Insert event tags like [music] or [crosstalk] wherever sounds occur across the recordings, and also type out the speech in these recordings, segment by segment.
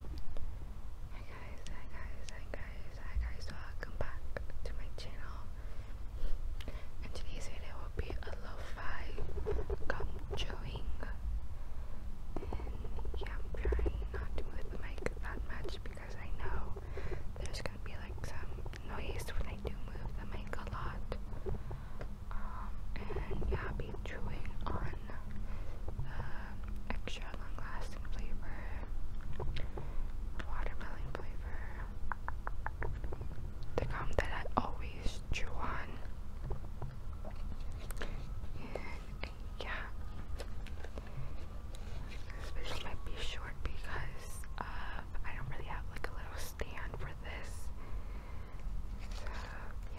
Hi guys, hi guys, hi guys, hi guys, welcome back to my channel. And today's video will be a lo gum chewing. And yeah, I'm trying not to move the mic that much because I know there's gonna be like some noise when I do move the mic a lot. Um, and yeah, be chewing on um, extra long-lasting flavor, watermelon flavor, the gum that I always chew on, yeah, this video might be short because um, I don't really have like a little stand for this, so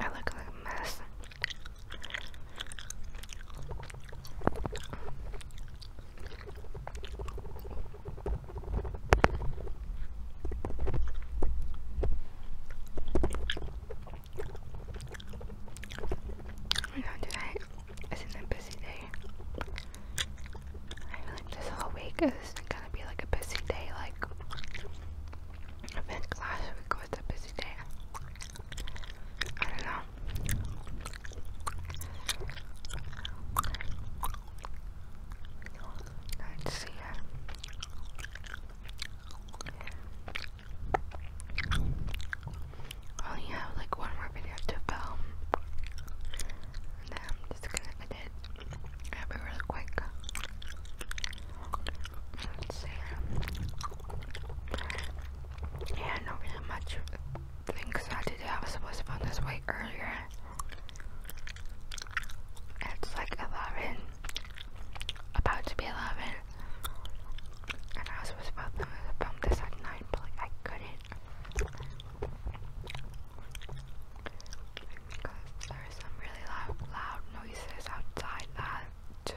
I look like a mess. You know, today is an busy day. I feel like this whole week is gonna be like a busy day. Like, last week was a busy day. I don't know. Let's see. I only have like one more video to film. And then I'm just gonna edit. It'll be really quick. see. Yeah, not really much things I did. I supposed to film this way earlier. It's like 11 about to be 11, and I was supposed to film this at 9, but like I couldn't because there are some really loud, loud noises outside that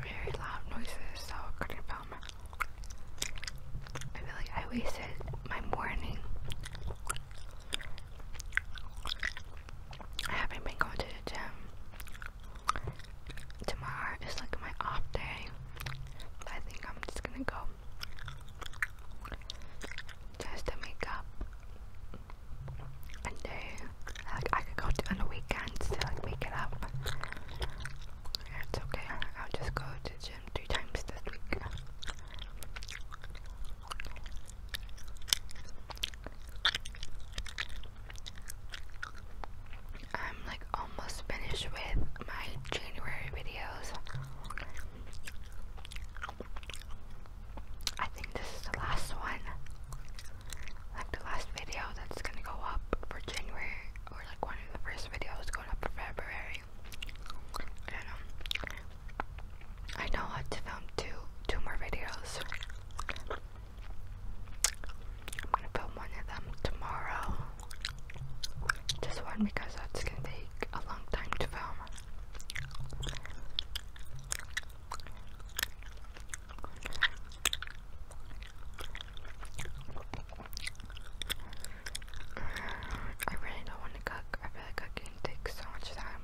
very loud noises, so couldn't film. I feel like I wasted my morning. I haven't been going to the gym. Tomorrow is like my off day. I think I'm just gonna go just to make up and then like I could go on the weekends to like make it up. It's okay. I'll just go to gym three times this week. I'm like almost finished with my January videos. I think this is the last one. Like the last video that's gonna go up for January, or like one of the first videos going up for February. I know. Um, I know I have filmed two two more videos. I'm gonna film one of them tomorrow. Just one because that's gonna take a long time to film. I really don't want to cook. I feel like cooking takes so much time.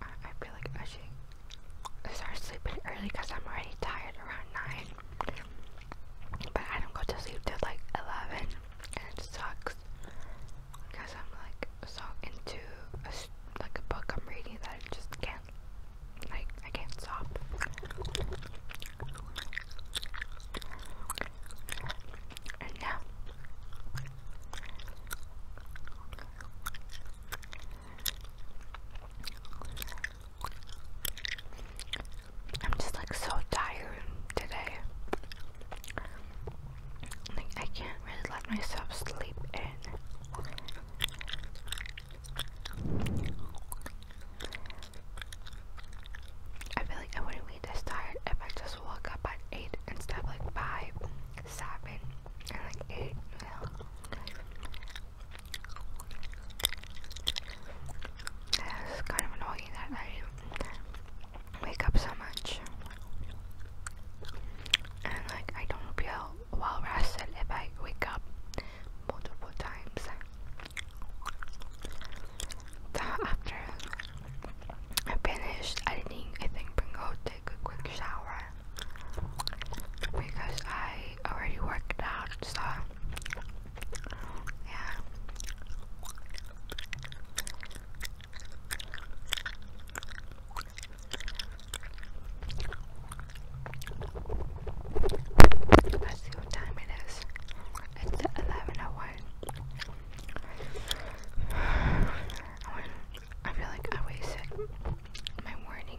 I, feel like I should start sleeping early because I'm already tired around 9. But I don't go to sleep till like 11 and it sucks because I'm like so into a, like a book I'm reading that I just can't like I can't stop. And I'm just like so tired today. Like I can't really let myself sleep in. I feel like I wouldn't be this tired if I just woke up at 8 instead of like 5, 7, and like 8, It's kind of annoying that I wake up so much. And like I don't feel well rested if I wake up multiple times. So after I finished editing, I think I'm gonna take a quick shower because I already worked out. So yeah. Let's see what time it is. It's 11 hour. Oh [sighs] I, I feel like I wasted my morning.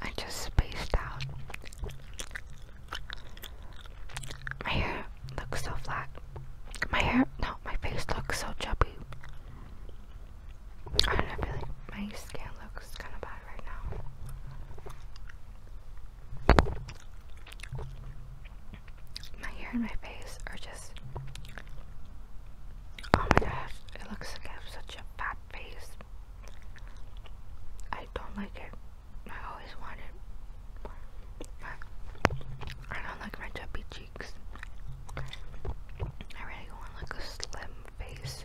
I just spaced out. My hair looks so flat. My hair, no, my face looks so chubby. I don't feel like my skin looks kind of bad right now. My hair and my face are just Oh my gosh, it looks like I have such a fat face. I don't like it. I always wanted. I don't like my chubby cheeks. I really want like a slim face.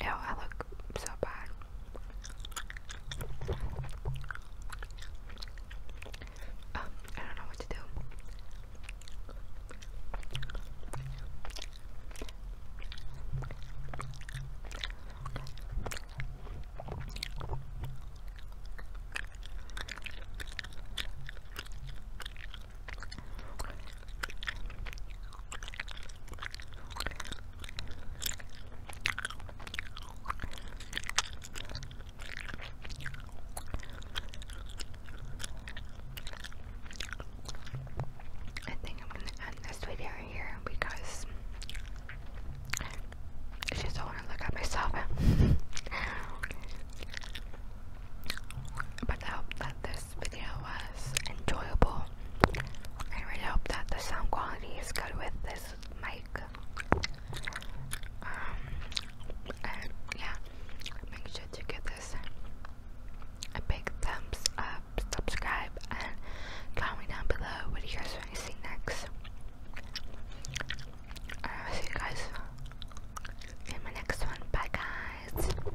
Ew, I look so bad. I don't know what to do. I think I'm gonna end this video here because I just don't want to look at myself. [laughs] but I hope that this video was enjoyable. I really hope that the sound quality is good with this mic. Um, and yeah, make sure to give this a big thumbs up, subscribe, and comment down below what you guys want to see next. I'll see you guys in my next one. Bye, guys.